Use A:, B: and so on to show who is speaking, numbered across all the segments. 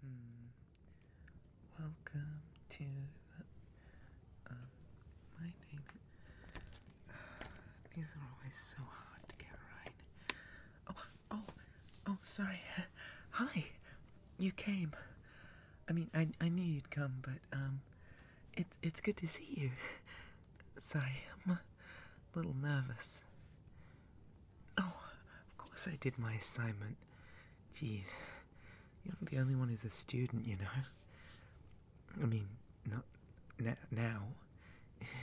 A: Hmm. Welcome to the. Um, my name. these are always so hard to get right. Oh, oh, oh, sorry. Hi. You came. I mean, I, I knew you'd come, but, um, it, it's good to see you. Sorry, I'm a little nervous. Oh, of course I did my assignment. Jeez, you're the only one who's a student, you know. I mean, not now.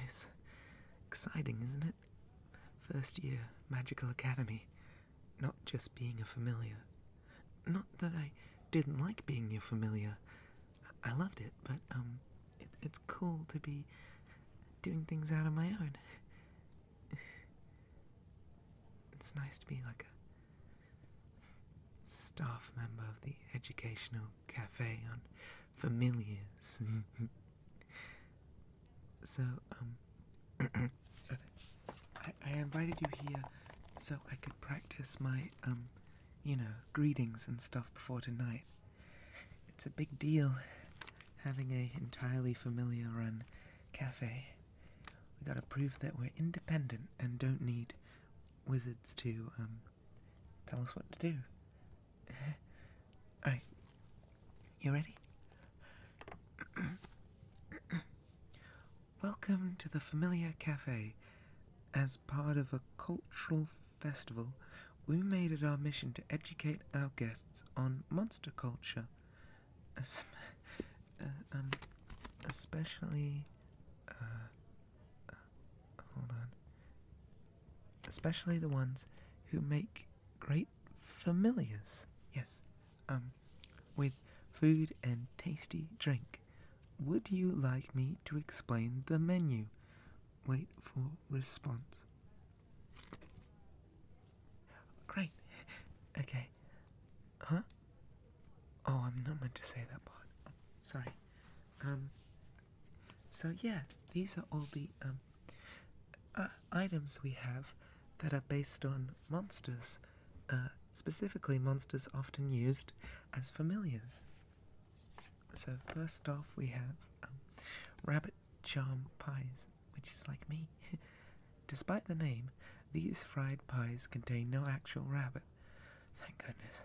A: It's exciting, isn't it? First year Magical Academy, not just being a familiar. Not that I didn't like being your familiar. I loved it, but um, it's cool to be doing things out of my own. it's nice to be like a staff member of the educational cafe on familiars. so, um, I, I invited you here so I could practice my, um, you know, greetings and stuff before tonight. It's a big deal having a entirely familiar run cafe. We gotta prove that we're independent and don't need wizards to um, tell us what to do. Alright. You ready? Welcome to the Familiar Cafe. As part of a cultural festival, we made it our mission to educate our guests on monster culture, uh, um, especially. Uh, uh, hold on. Especially the ones who make great familiars. Yes, um, with food and tasty drink. Would you like me to explain the menu? Wait for response. Great. Okay. Huh? Oh, I'm not meant to say that part. sorry. Um. So yeah, these are all the um uh, items we have that are based on monsters, uh, specifically monsters often used as familiars. So first off, we have um, rabbit charm pies, which is like me. Despite the name, these fried pies contain no actual rabbit. Thank goodness.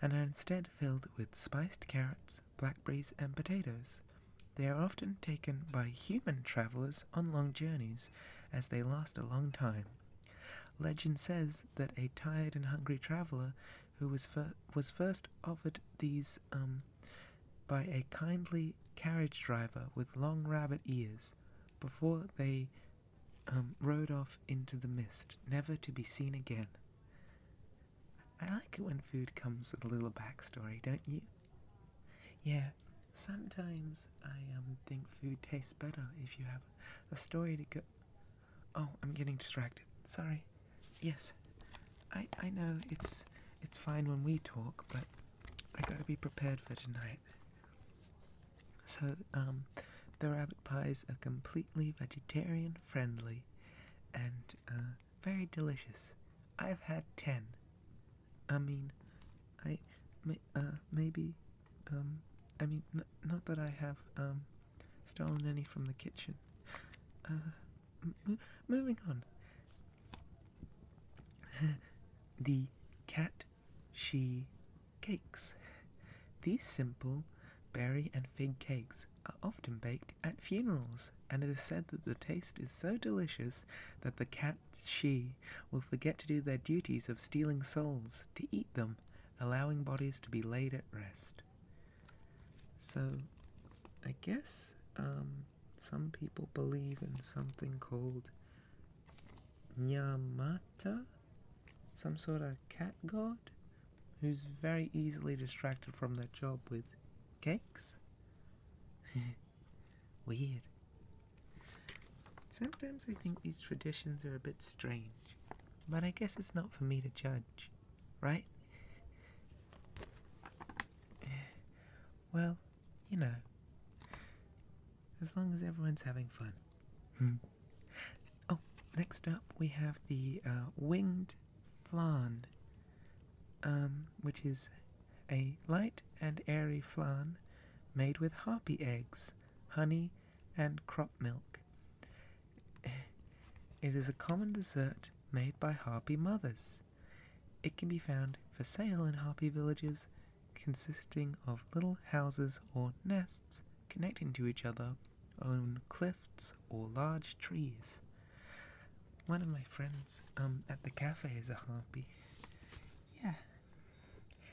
A: And are instead filled with spiced carrots, blackberries, and potatoes. They are often taken by human travelers on long journeys, as they last a long time. Legend says that a tired and hungry traveler who was, was first offered these um, by a kindly carriage driver with long rabbit ears before they um, rode off into the mist, never to be seen again. I like it when food comes with a little backstory, don't you? Yeah, sometimes I um, think food tastes better if you have a story to go Oh, I'm getting distracted. Sorry. Yes. I I know it's it's fine when we talk, but I gotta be prepared for tonight. So, um, the rabbit pies are completely vegetarian friendly and uh, very delicious. I've had ten. I mean, I, may, uh, maybe, um, I mean, not that I have, um, Stolen any from the kitchen. Uh, moving on. the cat she cakes. These simple berry and fig cakes are often baked at funerals, and it is said that the taste is so delicious that the cat she will forget to do their duties of stealing souls to eat them allowing bodies to be laid at rest. So, I guess um, some people believe in something called Nyamata, some sort of cat god who's very easily distracted from their job with cakes. Weird. Sometimes I think these traditions are a bit strange. But I guess it's not for me to judge, right? Well, you know, as long as everyone's having fun. Hmm. oh, next up we have the uh, winged flan, um, which is a light and airy flan made with harpy eggs, honey, and crop milk. It is a common dessert made by Harpy mothers. It can be found for sale in Harpy villages, consisting of little houses or nests connecting to each other on cliffs or large trees. One of my friends um, at the cafe is a harpy. Yeah.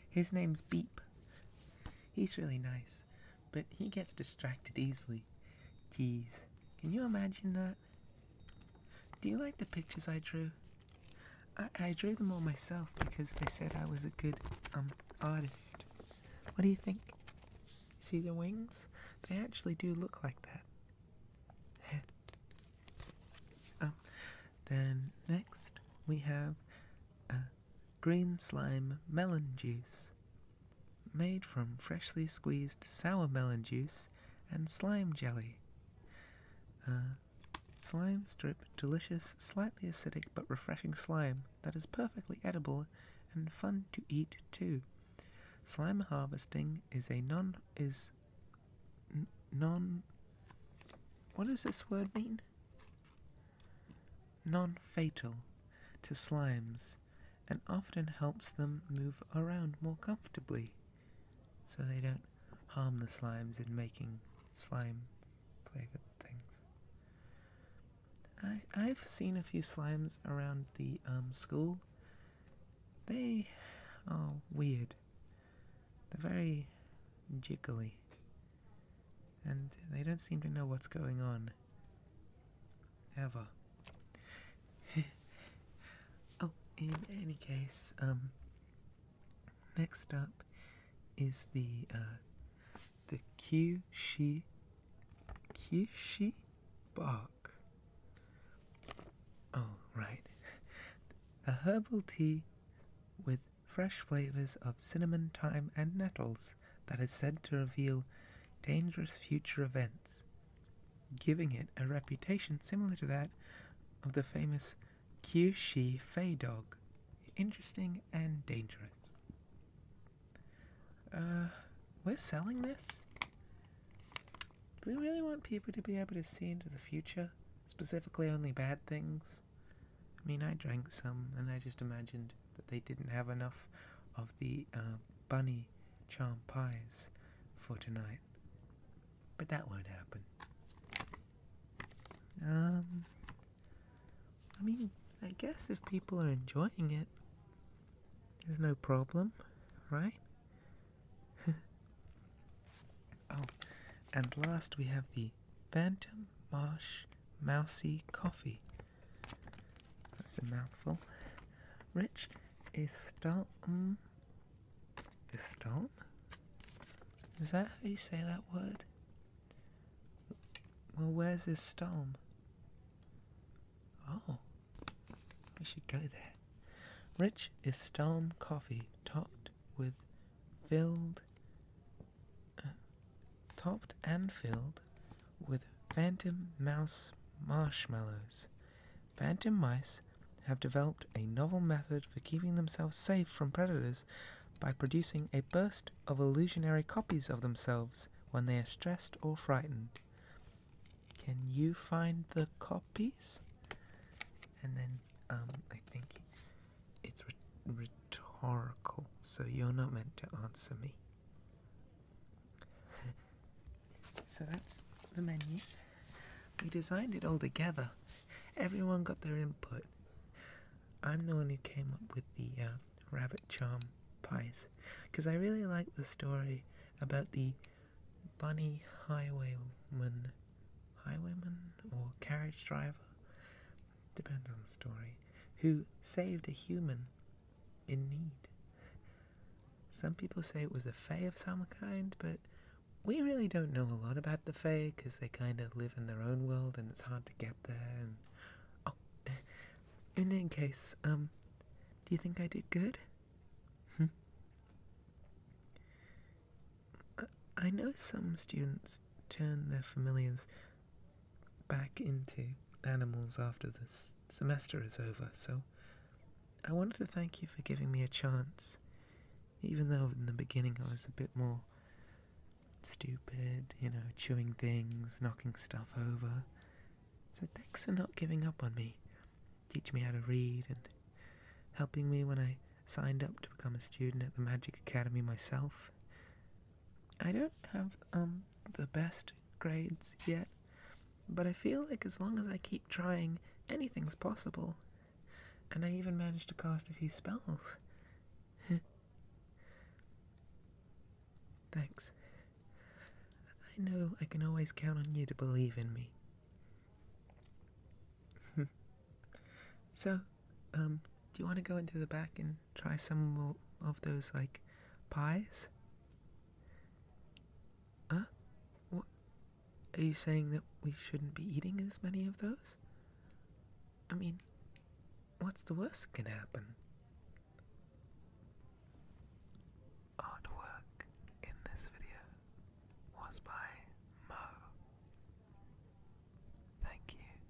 A: His name's Beep. He's really nice but he gets distracted easily. Jeez, can you imagine that? Do you like the pictures I drew? I, drew them all myself because they said I was a good um artist. What do you think? See the wings? They actually do look like that. Um, then next we have uh, green slime melon juice. Made from freshly squeezed sour melon juice and slime jelly. Uh, slime strip delicious, slightly acidic but refreshing slime that is perfectly edible and fun to eat too. Slime harvesting is a non is non what does this word mean? non-fatal to slimes and often helps them move around more comfortably so they don't harm the slimes in making slime flavored things. I, have seen a few slimes around the um, school. They are weird. They're very jiggly. And they don't seem to know what's going on. Ever. oh, in any case, um, next up is the, uh, the Kyushi, Kyushi bark. Oh, right. A herbal tea with fresh flavors of cinnamon, thyme, and nettles that is said to reveal dangerous future events, giving it a reputation similar to that of the famous Kyushi Fei dog. Interesting and dangerous. Uh, we're selling this? Do we really want people to be able to see into the future? Specifically, only bad things? I mean, I drank some and I just imagined that they didn't have enough of the uh, bunny charm pies for tonight. But that won't happen. Um, I mean, I guess if people are enjoying it, there's no problem, right? oh, and last we have the Phantom Marsh Mousy Coffee that's a mouthful. Rich Istalm. Istalm? Is that how you say that word? Well, where's Istalm? Oh, we should go there. Rich is Istalm coffee topped with filled topped and filled with phantom mouse marshmallows. Phantom mice have developed a novel method for keeping themselves safe from predators by producing a burst of illusionary copies of themselves when they are stressed or frightened. Can you find the copies? And then um, I think it's rhetorical, so you're not meant to answer me so that's the menu. We designed it all together. Everyone got their input. I'm the one who came up with the uh, rabbit charm pies because I really like the story about the bunny highwayman, highwayman or carriage driver, depends on the story, who saved a human in need. Some people say it was a fae of some kind, but we really don't know a lot about the fae because they kind of live in their own world and it's hard to get there. And... Oh, in any case, um, do you think I did good? Hmm. I know some students turn their familiars back into animals after this semester is over, so I wanted to thank you for giving me a chance, even though in the beginning I was a bit more stupid, you know, chewing things, knocking stuff over. So thanks for not giving up on me, teaching me how to read, and helping me when I signed up to become a student at the Magic Academy myself. I don't have um the best grades yet, but I feel like as long as I keep trying, anything's possible. And I even managed to cast a few spells. Thanks. I know I can always count on you to believe in me. so, um, do you want to go into the back and try some of those like pies? Huh? What? Are you saying that we shouldn't be eating as many of those? I mean, what's the worst that can happen? Artwork in this video was by Mo. Thank you.